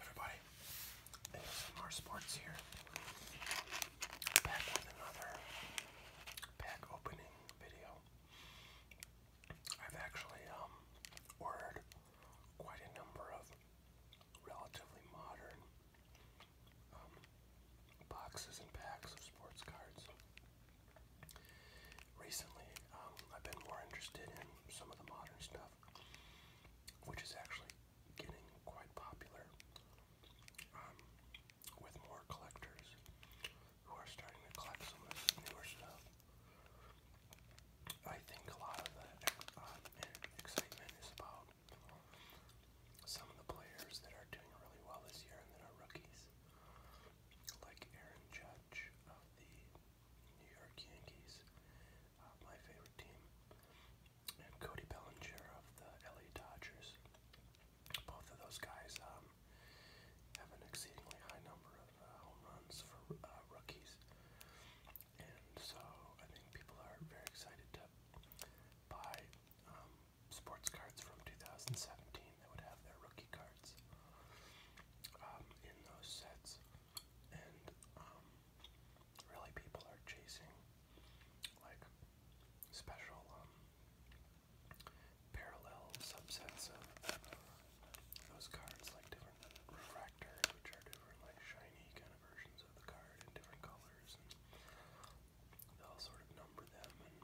Everybody, more Sports here. Back with another pack opening video. I've actually um, ordered quite a number of relatively modern um, boxes and packs of sports cards. Recently, um, I've been more interested in some of the modern stuff, which is actually getting quite popular um, with more collectors who are starting to collect some of this newer stuff. I think a lot of the um, excitement is about some of the players that are doing really well this year and that are rookies, like Aaron Judge of the New York Yankees, uh, my favorite team, and Cody Bellinger of the LA Dodgers. Both of those guys um, have an exceedingly high number of uh, home runs for uh, rookies, and so I think people are very excited to buy um, sports cards from 2017 that would have their rookie cards um, in those sets, and um, really people are chasing like special um, parallel subsets of those cards, like different refractors, which are different like shiny kind of versions of the card in different colors, and they'll sort of number them and.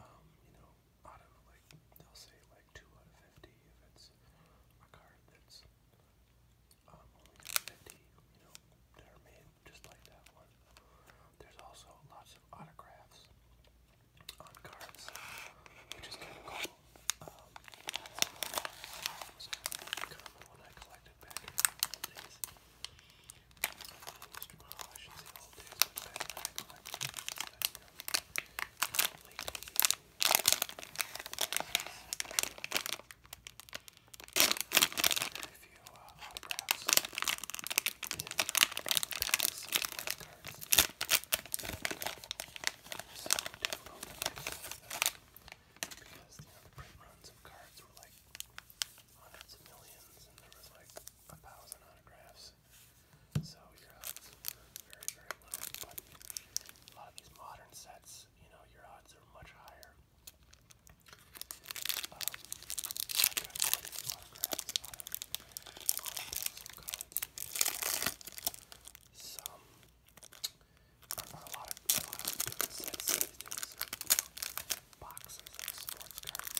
Um, you know, out of like they'll say like two out of fifty if it's a card that's um, only fifty, you know, that are made just like that one. There's also lots of autographs on cards, which is kind of cool. when I collected back in the old days. old days, very few autographs in of cards. So difficult to because you know, print runs of cards were like hundreds of millions, and there was like a thousand autographs so your odds are very, very low. But a lot of these modern sets, you know, your odds are much higher. Um, Some a lot of, a lot of different sets these Boxes of sports cards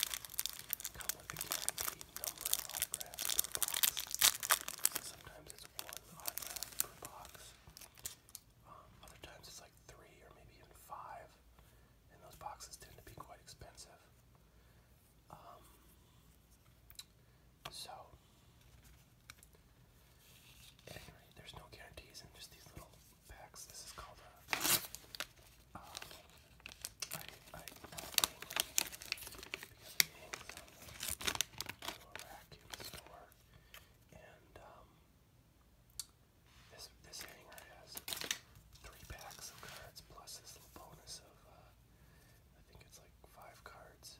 uh, come with a guarantee sometimes it's one autograph per box. Um, other times it's like three or maybe even five. And those boxes tend to be quite expensive. Um, so, anyway, there's no guarantees in just these little packs. This is called a uh, I, I to a vacuum store, and this this hanger has three packs of cards plus this little bonus of I think it's like five cards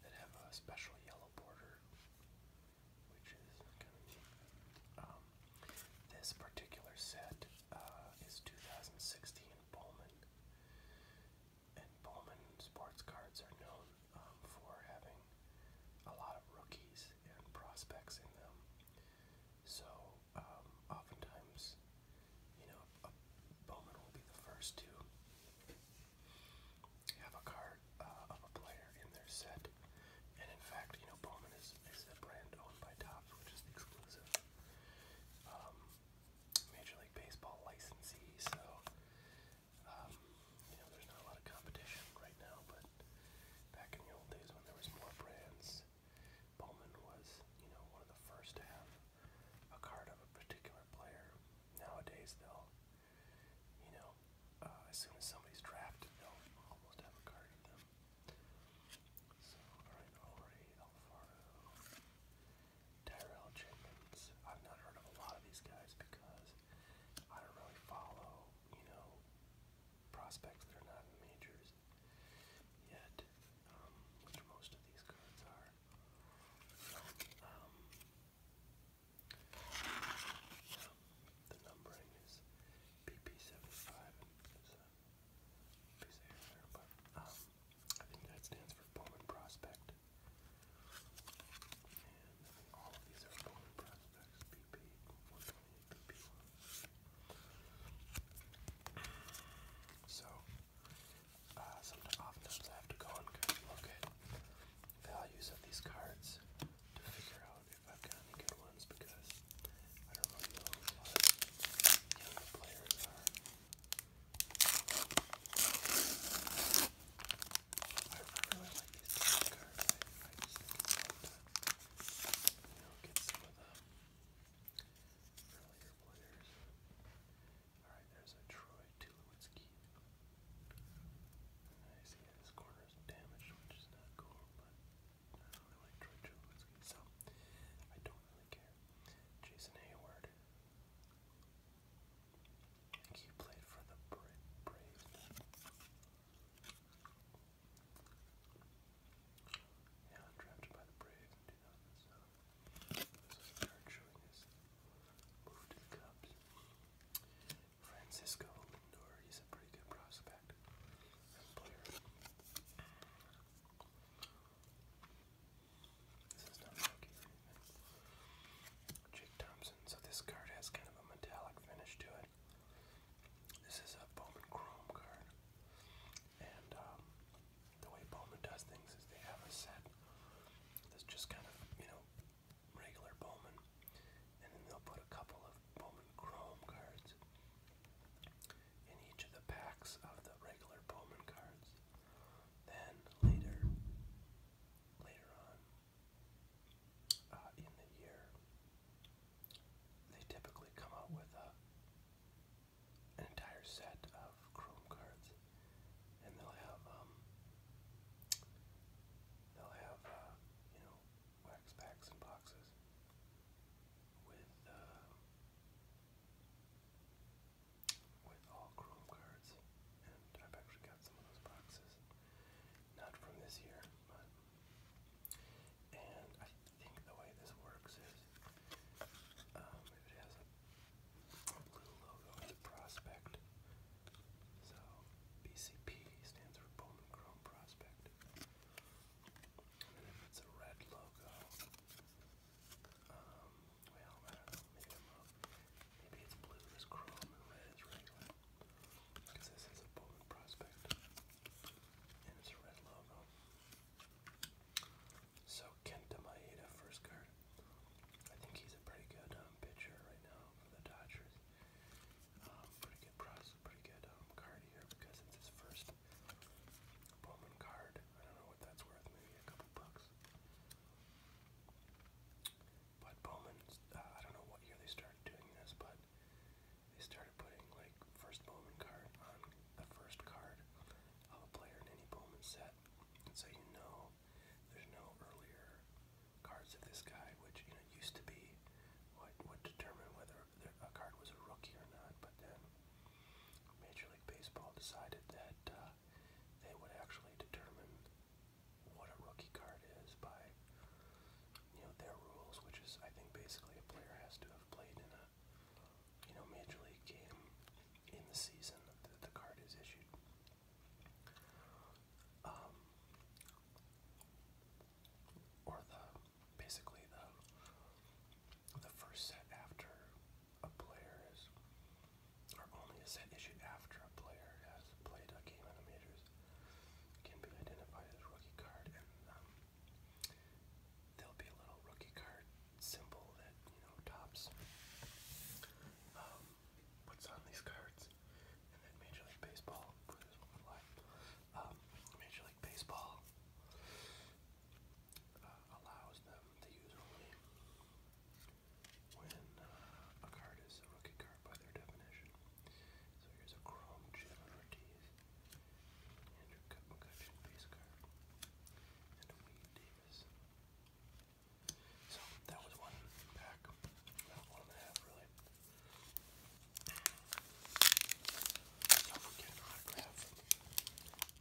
that have a special yellow border, which is kind of this particular set uh, is 2016 and Bowman. And Bowman sports cards are known um, for having a lot of rookies and prospects in them. So um, oftentimes, you know, a Bowman will be the first to have a card uh, of a player in their set. And in fact, you know, Bowman is, is a brand owned by Topps, which is exclusive. Um, Major League Baseball licensee, so um, you know there's not a lot of competition right now. But back in the old days when there was more brands, Bowman was you know one of the first to have a card of a particular player. Nowadays they'll you know uh, as soon as somebody's drafted they'll almost have a card of them. So all right, already Alfaro. Tyrell Jenkins. I've not heard of a lot of these guys because I don't really follow, you know, prospects that are not in the majors yet, um, which most of these cards are. So, um, yeah, the numbering is PP75. So, um, I think that stands for Bowman Prospect. So, uh, sometimes, I have to go and look at values of these cards to figure out if I've got good ones because I don't know what young players are I really like these cards. I, just think it's get some of the earlier players. Alright, there's a Troy Tulowitzki. I see that his damaged, which is not cool, but I do like Troy Tulowitzki, so I don't really care. Jason Hayward. He played for the Bra Braves. Yeah, drafted by the Braves in 2007. This is Jared showing his move to the Cubs. Francisco Lindor, he's a pretty good prospect this is not Rocky Jake Thompson. So this card has kind of a metallic finish to it. This is a Bowman Chrome card. And um, the way Bowman does things is they have a set that's just kind of, you know, regular Bowman. And then they'll put a couple of Bowman Chrome cards in each of the packs of the regular Bowman cards. Then later, later on uh, in the year, they typically come out with uh, an entire set of Chrome cards, and they'll have um, they'll have uh, you know wax packs and boxes with with all chrome cards, and I've actually got some of those boxes, not from this year, but. And I think the way this works is um, it has a, a blue logo, it's a prospect. So BCP stands for Bowman Chrome Prospect. And if it's a red logo, um, well, Maybe it's blue is chrome and red Because this is a Bowman Prospect. And it's a red logo. So Kenta Maeda, um, first card. I think he's a pretty good um, pitcher right now for the Dodgers. Um, pretty good process, pretty good card here because it's his first Bowman card. I don't know what that's worth. Maybe a couple bucks. But Bowman, uh, I don't know what year they started doing this, but they started putting like first Bowman card on the first card of a player in any Bowman set, and so you know there's no earlier cards of this guy, which you know used to be what would determine whether a card was a rookie or not. But then Major League Baseball decided that uh, they would actually determine what a rookie card is by you know their rules, which is I think basically a player has to have played in a you know major league game in the season that the card is issued. Um, or the basically the the first set after a player or only a set issued after a player has played a game in the majors, can be identified as rookie card, and um, there'll be a little rookie card symbol that you know tops um, on these cards, and then Major League Baseball. Um, Major League Baseball uh, allows them to use only when uh, a card is a rookie card by their definition. So here's a Chrome Gem Ortiz, Andrew McCutcheon base card, and a Wade Davis. So that was one pack, about one and a half really. So if we get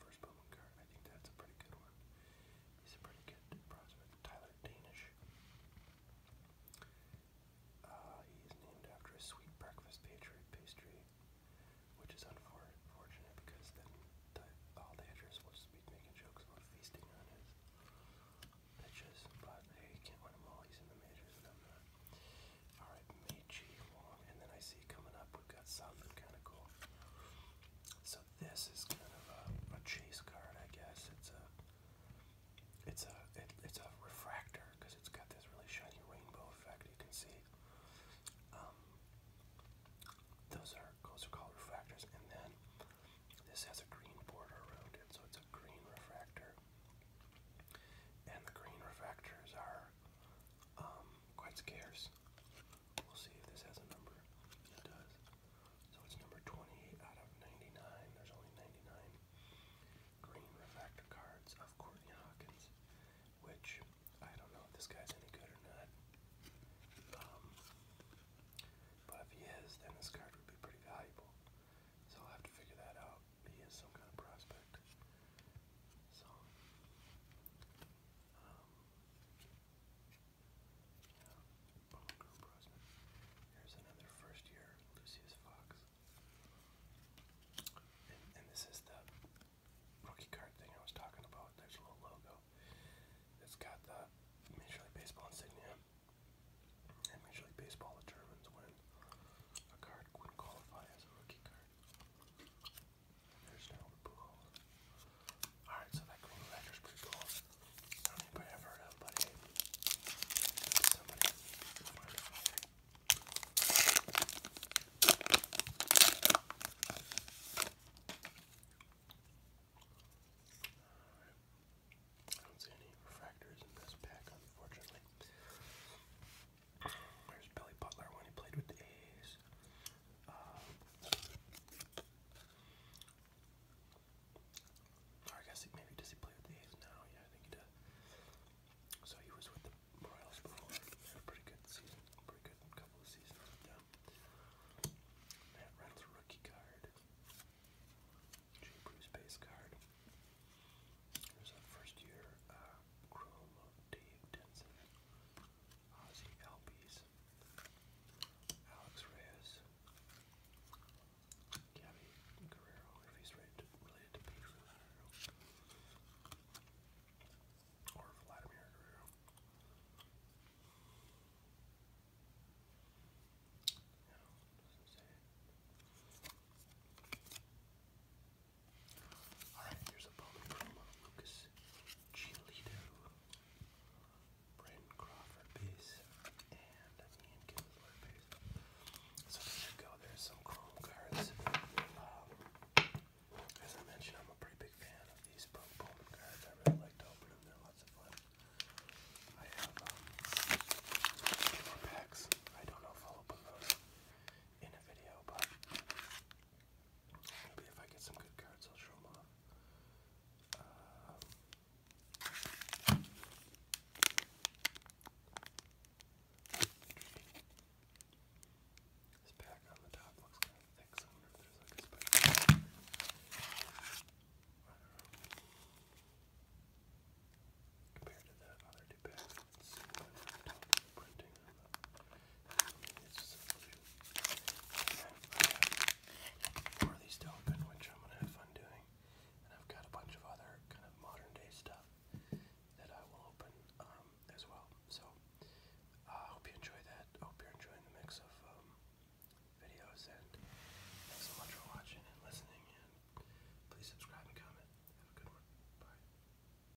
first Bowman card. I think that's a pretty good one. He's a pretty good prospect. Tyler Danish. Uh, he is named after a sweet breakfast pastry, which is unfortunate because then all the editors will just be making jokes about feasting on his pitches. But hey, you can't win them all. He's in the majors, all right, Meichi Wong, and then I see coming up we've got something kind of cool. So this is kind of a, a chase card, I guess. It's a it's a it, it's a refractor because it's got this really shiny rainbow effect. You can see. Um, those are those are called refractors, and then this has a green border around it, so it's a green refractor. And the green refractors are um, quite scarce. We'll see if this has a number. It does. So it's number 28 out of 99. There's only 99 green refractor cards of Courtney Hawkins, which I don't know if this guy's any good or not. Um, but if he is, then this card would be pretty valuable. So I'll have to figure that out. He is some kind of prospect. So, um, Here's another first year Lucius Fox. And, this is the rookie card thing I was talking about. There's a little logo. It's got the Major League Baseball insignia. And Major League Baseball determines when a card wouldn't qualify as a rookie card. There's no Alright, so that green letter's pretty cool. I don't think I've ever heard of, but I don't see any refractors in this pack, unfortunately. There's Billy Butler when he played with the A's. Uh, or I guess he, maybe does he play with the A's now? Yeah, I think he does. So he was with the Royals before. Had a pretty good season, pretty good couple of seasons with them. Matt Reynolds rookie card. Jay Bruce base card. There's a first year uh, chromo Dave Denson, Ozzy Albies, Alex Reyes, Gabby Guerrero, if he's related to, related to Pedro Guerrero, or Vladimir Guerrero. No, doesn't say it. Alright, here's a bonus promo. Uh, Lucas Giolito, Brandon Crawford base, and Ian Kinsler base. So there you go. There's some chrome cards. Um, as I mentioned, I'm a pretty big fan of these Bowman cards. I really like to open them. They're lots of fun. I have um, two more packs. I don't know if I'll open those in a video, but Maybe if I get some good cards, I'll show them off. this pack on the top looks kind of thick, I wonder if there's like a spider. Compared to the other two packs see these to open, which I'm going to have fun doing. And I've got a bunch of other kind of modern day stuff that I will open um, as well. So uh, I hope you enjoy that. hope you're enjoying the mix of um, videos. And thanks so much for watching and listening. And please subscribe and comment. Have a good one. Bye.